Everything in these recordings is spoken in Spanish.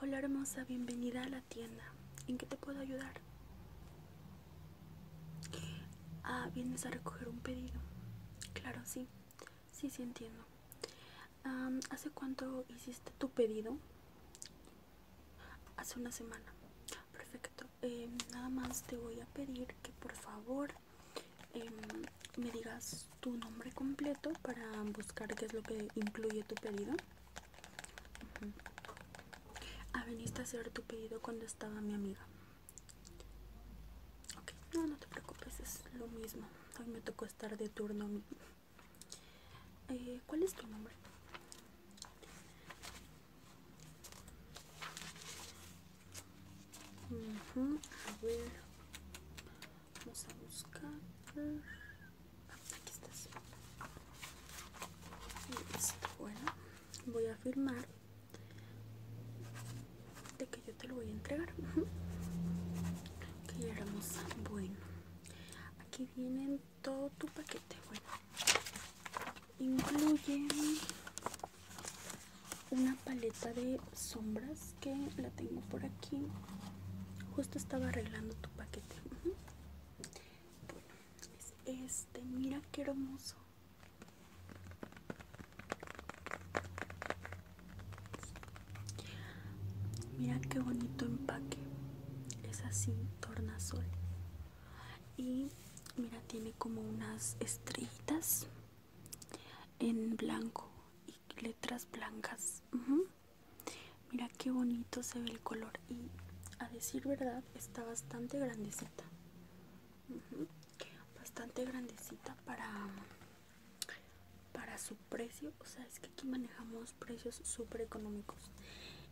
Hola hermosa, bienvenida a la tienda. ¿En qué te puedo ayudar? Ah, vienes a recoger un pedido. Claro, sí. Sí, sí entiendo. ¿Hace cuánto hiciste tu pedido? Hace una semana. Perfecto. Em, nada más te voy a pedir que por favor em, me digas tu nombre completo para buscar qué es lo que incluye tu pedido. Ah, veniste a hacer tu pedido cuando estaba mi amiga. no, no te preocupes, es lo mismo. Hoy me tocó estar de turno. Eh, ¿Cuál es tu nombre? vamos a buscar aquí está. bueno voy a firmar de que yo te lo voy a entregar que hermosa bueno aquí vienen todo tu paquete bueno incluye una paleta de sombras que la tengo por aquí justo estaba arreglando tu paquete bueno es este mira qué hermoso mira qué bonito empaque es así tornasol y mira tiene como unas estrellitas en blanco y letras blancas Mira qué bonito se ve el color y a decir verdad está bastante grandecita. Bastante grandecita para para su precio, o sea, es que aquí manejamos precios súper económicos.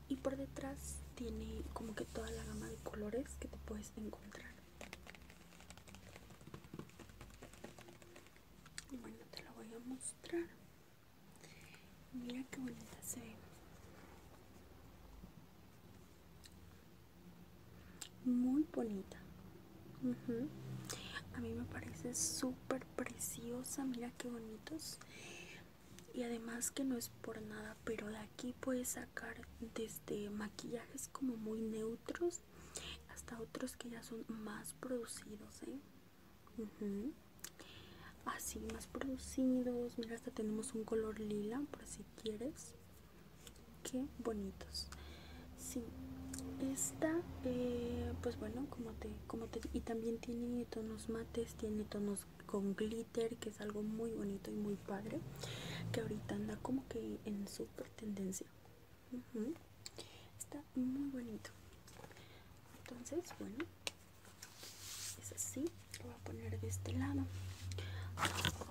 Y por detrás tiene como que toda la gama de colores que te puedes encontrar bueno te la voy a mostrar mira qué bonita se ve muy bonita a mí me parece súper preciosa mira qué bonitos y además que no es por nada pero de aquí puedes sacar desde maquillajes como muy neutros hasta otros que ya son más producidos ¿eh? así más producidos mira hasta tenemos un color lila por si quieres qué bonitos sí esta eh, pues bueno como te como te y también tiene tonos mates tiene tonos con glitter que es algo muy bonito y muy padre que ahorita anda como que en súper tendencia Está muy bonito. Entonces, bueno, es así. Lo voy a poner de este lado.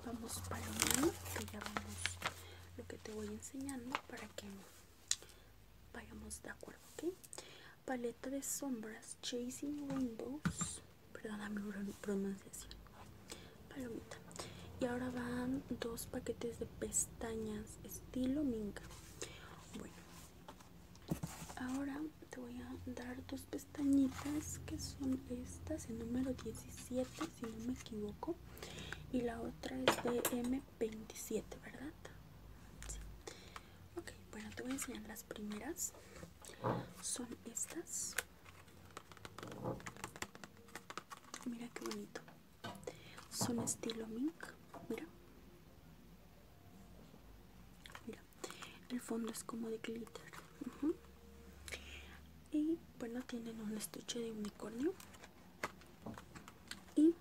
Vamos para que ya vamos lo que te voy enseñando para que vayamos de acuerdo, ¿ok? Paleta de sombras Chasing Rainbows. Perdona mi pronunciación. Palomita. Y ahora van dos paquetes de pestañas estilo minga bueno ahora te voy a dar dos pestañitas que son estas el número 17 si no me equivoco y la otra es de m27 verdad ok bueno te voy a enseñar las primeras son estas mira qué bonito son estilo mink mira el fondo es como de glitter y bueno tienen un estuche de unicornio y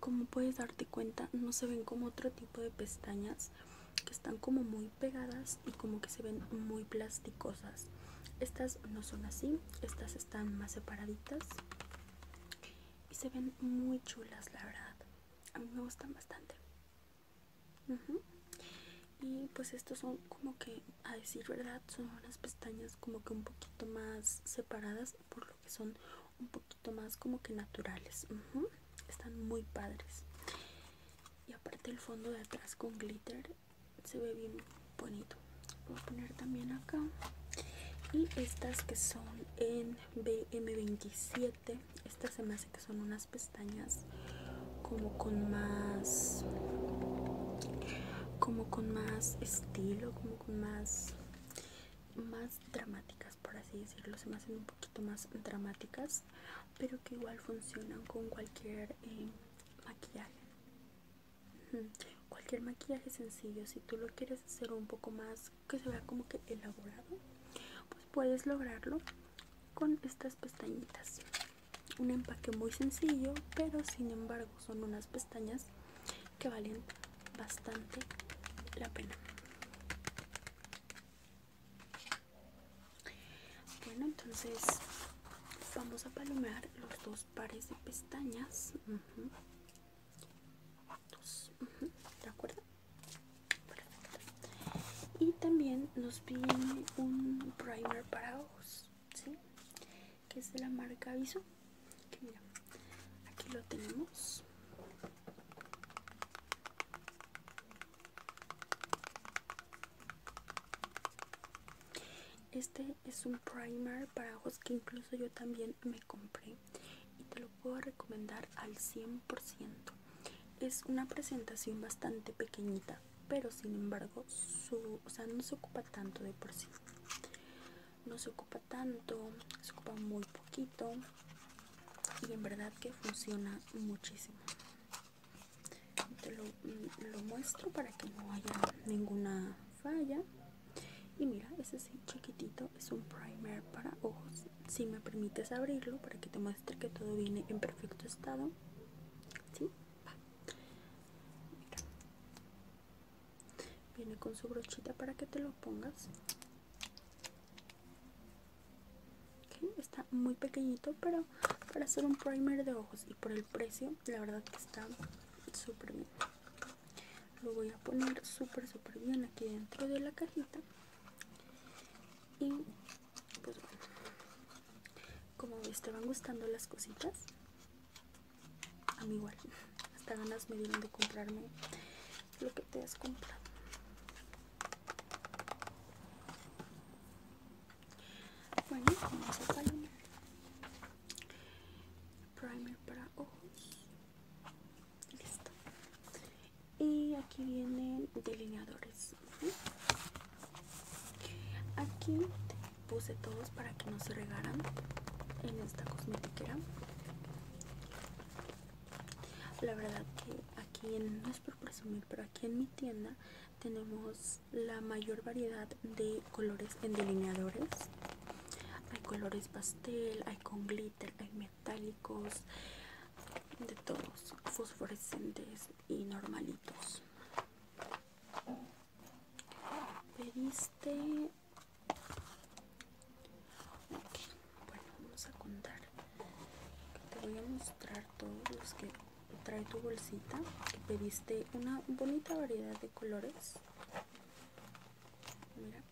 como puedes darte cuenta no se ven como otro tipo de pestañas que están como muy pegadas y como que se ven muy plasticosas estas no son así estas están más separaditas y se ven muy chulas la verdad a mí me gustan bastante y pues estos son como que a decir verdad son unas pestañas como que un poquito más separadas por lo que son un poquito más como que naturales están muy padres y aparte el fondo de atrás con glitter se ve bien bonito voy a poner también acá y estas que son en BM27 estas se me hace que son unas pestañas como con más como con más estilo como con más más dramáticas por así decirlo se me hacen un poquito más dramáticas pero que igual funcionan con cualquier eh, maquillaje Cualquier maquillaje sencillo, si tú lo quieres hacer un poco más que se vea como que elaborado, pues puedes lograrlo con estas pestañitas. Un empaque muy sencillo, pero sin embargo son unas pestañas que valen bastante la pena. Bueno, entonces vamos a palomear los dos pares de pestañas. Y también nos piden un primer para ojos, ¿sí? Que es de la marca Aviso. aquí lo tenemos. Este es un primer para ojos que incluso yo también me compré y te lo puedo recomendar al 100%. Es una presentación bastante pequeñita, pero sin embargo, su, o sea, no se ocupa tanto de por sí. No se ocupa tanto, se ocupa muy poquito y en verdad que funciona muchísimo. Te lo, mm, lo muestro para que no haya ninguna falla y mira ese sí chiquitito es un primer para ojos si me permites abrirlo para que te muestre que todo viene en perfecto estado viene con su brochita para que te lo pongas está muy pequeñito pero para hacer un primer de ojos y por el precio la verdad que está súper bien lo voy a poner súper súper bien aquí dentro de la cajita y pues bueno como estaban te van gustando las cositas a mí igual hasta ganas me dieron de comprarme lo que te has comprado bueno primer para ojos listo y aquí vienen delineadores aquí puse todos para que no se regaran en esta cosmetiquera la verdad que aquí no es por presumir pero aquí en mi tienda tenemos la mayor variedad de colores en delineadores hay colores pastel hay con glitter hay metálicos de todos fosforescentes y normalitos pediste bueno vamos a contar te voy a mostrar todos los que trae tu bolsita pediste una bonita variedad de colores mira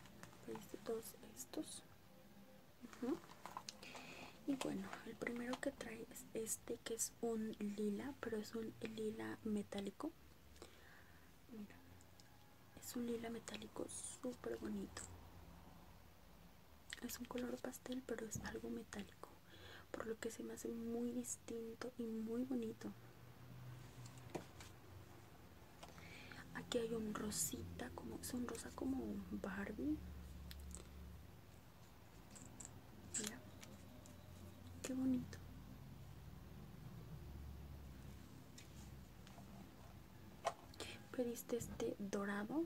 todos estos y bueno el primero que trae es este que es un lila pero es un lila metálico es un lila metálico súper bonito es un color pastel pero es algo metálico por lo que se me hace muy y muy bonito aquí hay un rosita como es un rosa como un barbie mira qué bonito pediste este dorado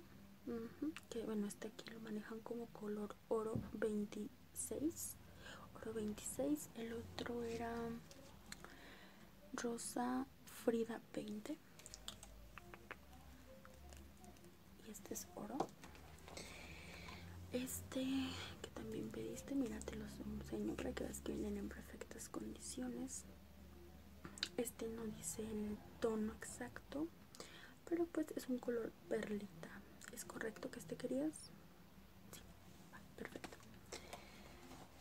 que bueno este aquí lo manejan como color oro 20 6 oro 26 el otro era rosa frida 20 y este es oro este que también pediste mira te los enseño para que veas que vienen en perfectas condiciones este no dice el tono exacto pero pues es un color perlita es correcto que este querías perfecto.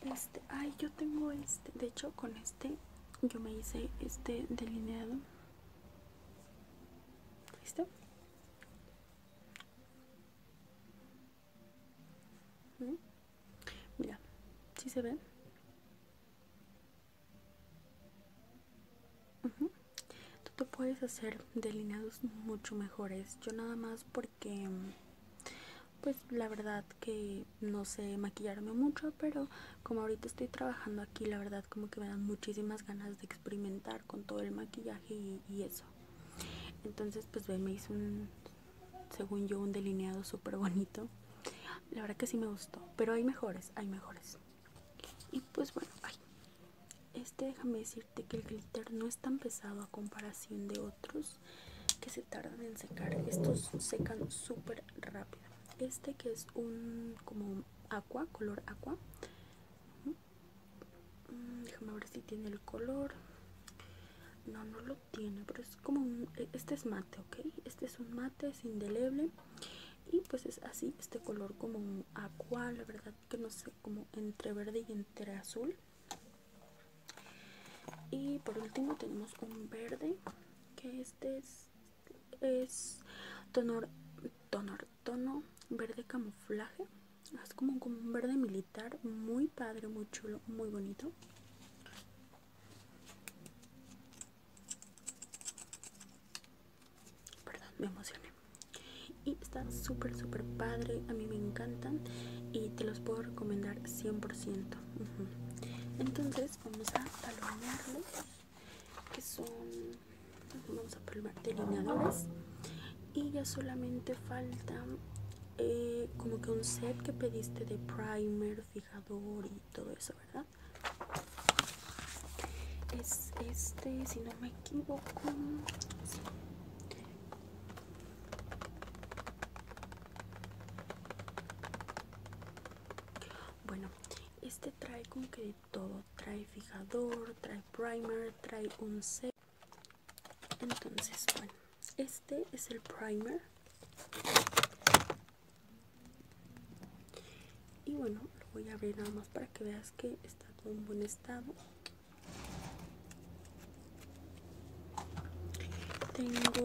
Este, ay, yo tengo este, de hecho con este yo me hice este delineado. ¿Listo? ¿Mm? Mira, si se ve. Tú te puedes hacer delineados mucho mejores. Yo nada más, porque que pues la verdad que no sé maquillarme mucho pero como ahorita estoy trabajando aquí la verdad como que me dan muchísimas ganas de experimentar con todo el maquillaje y, eso entonces pues ve me hizo un según yo un delineado súper bonito la verdad que sí me gustó pero hay mejores hay mejores y pues bueno este déjame decir de que el glitter no es tan pesado a comparación de otros que se tardan en secar estos secan súper rápido este que es un como aqua, color aqua mm, déjame ver si tiene el color no no lo tiene pero es como un e, este es mate ok este es un mate es indeleble y pues es así este color como un aqua la verdad que no sé como entre verde y entre azul y por último tenemos un verde que este es, es tono, tono, verde camuflaje es como, como un verde militar muy padre muy chulo muy bonito perdón me emocioné y están súper súper padre a mí me encantan y te los puedo recomendar 100% entonces vamos a palomearlos que son vamos a probar delineadores y ya solamente falta eh, como que un set que pediste de primer fijador y todo eso verdad es este si no me equivoco bueno, este trae como que de todo, trae fijador, trae primer, trae un set. Entonces, bueno, este es el primer. Y bueno, lo voy a abrir nada más para que veas que está en buen estado. Tengo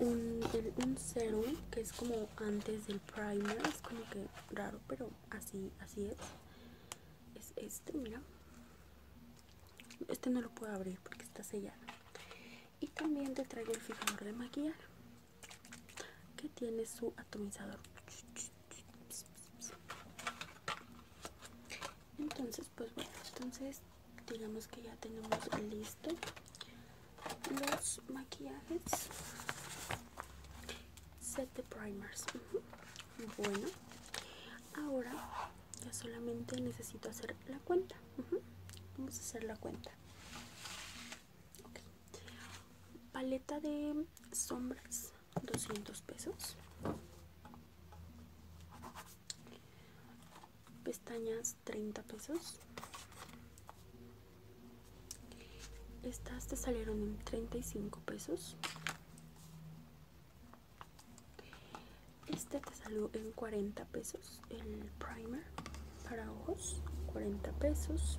un, serum que es como antes del primer, es como que raro, pero así, así es. Es este, mira. Este no lo puedo abrir porque está sellado. Y también te traigo el fijador de maquillaje que tiene su atomizador entonces pues bueno entonces digamos que ya tenemos listo los maquillajes set de primers bueno ahora ya solamente necesito hacer la cuenta vamos a hacer la cuenta paleta de sombras 200 pesos pestañas 30 pesos estas te salieron en 35 pesos este te salió en 40 pesos el primer para ojos 40 pesos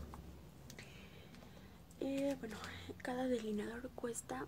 eh, bueno cada delineador cuesta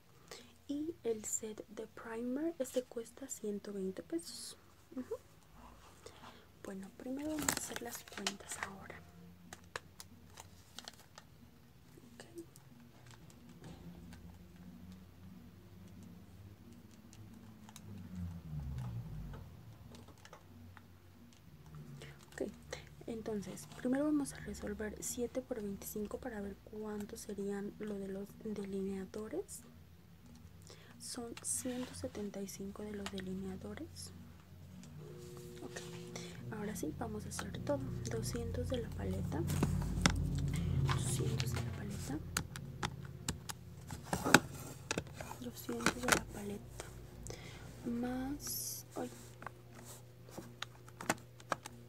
y el set de primer este cuesta 120 pesos bueno primero vamos a hacer las cuentas ahora entonces primero vamos a resolver 7 por 25 para ver cuánto serían lo de los delineadores son 175 de los delineadores ahora sí vamos a hacer todo 200 de la paleta 200 de la paleta 200 de la paleta más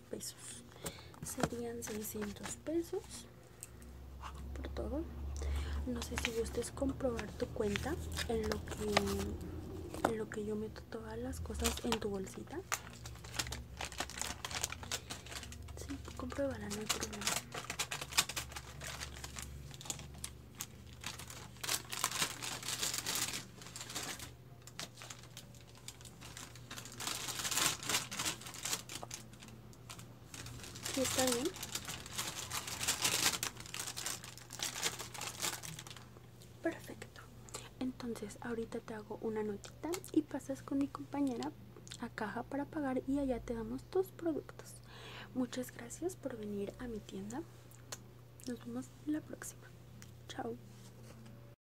pesos serían 600 pesos por todo no sé si gustes comprobar tu cuenta en lo que en lo que yo meto todas las cosas en tu bolsita si comprobarán no hay problema está bien. Perfecto. Entonces, ahorita te hago una notita y pasas con mi compañera a caja para pagar y allá te damos tus productos. Muchas gracias por venir a mi tienda. Nos vemos la próxima. Chao.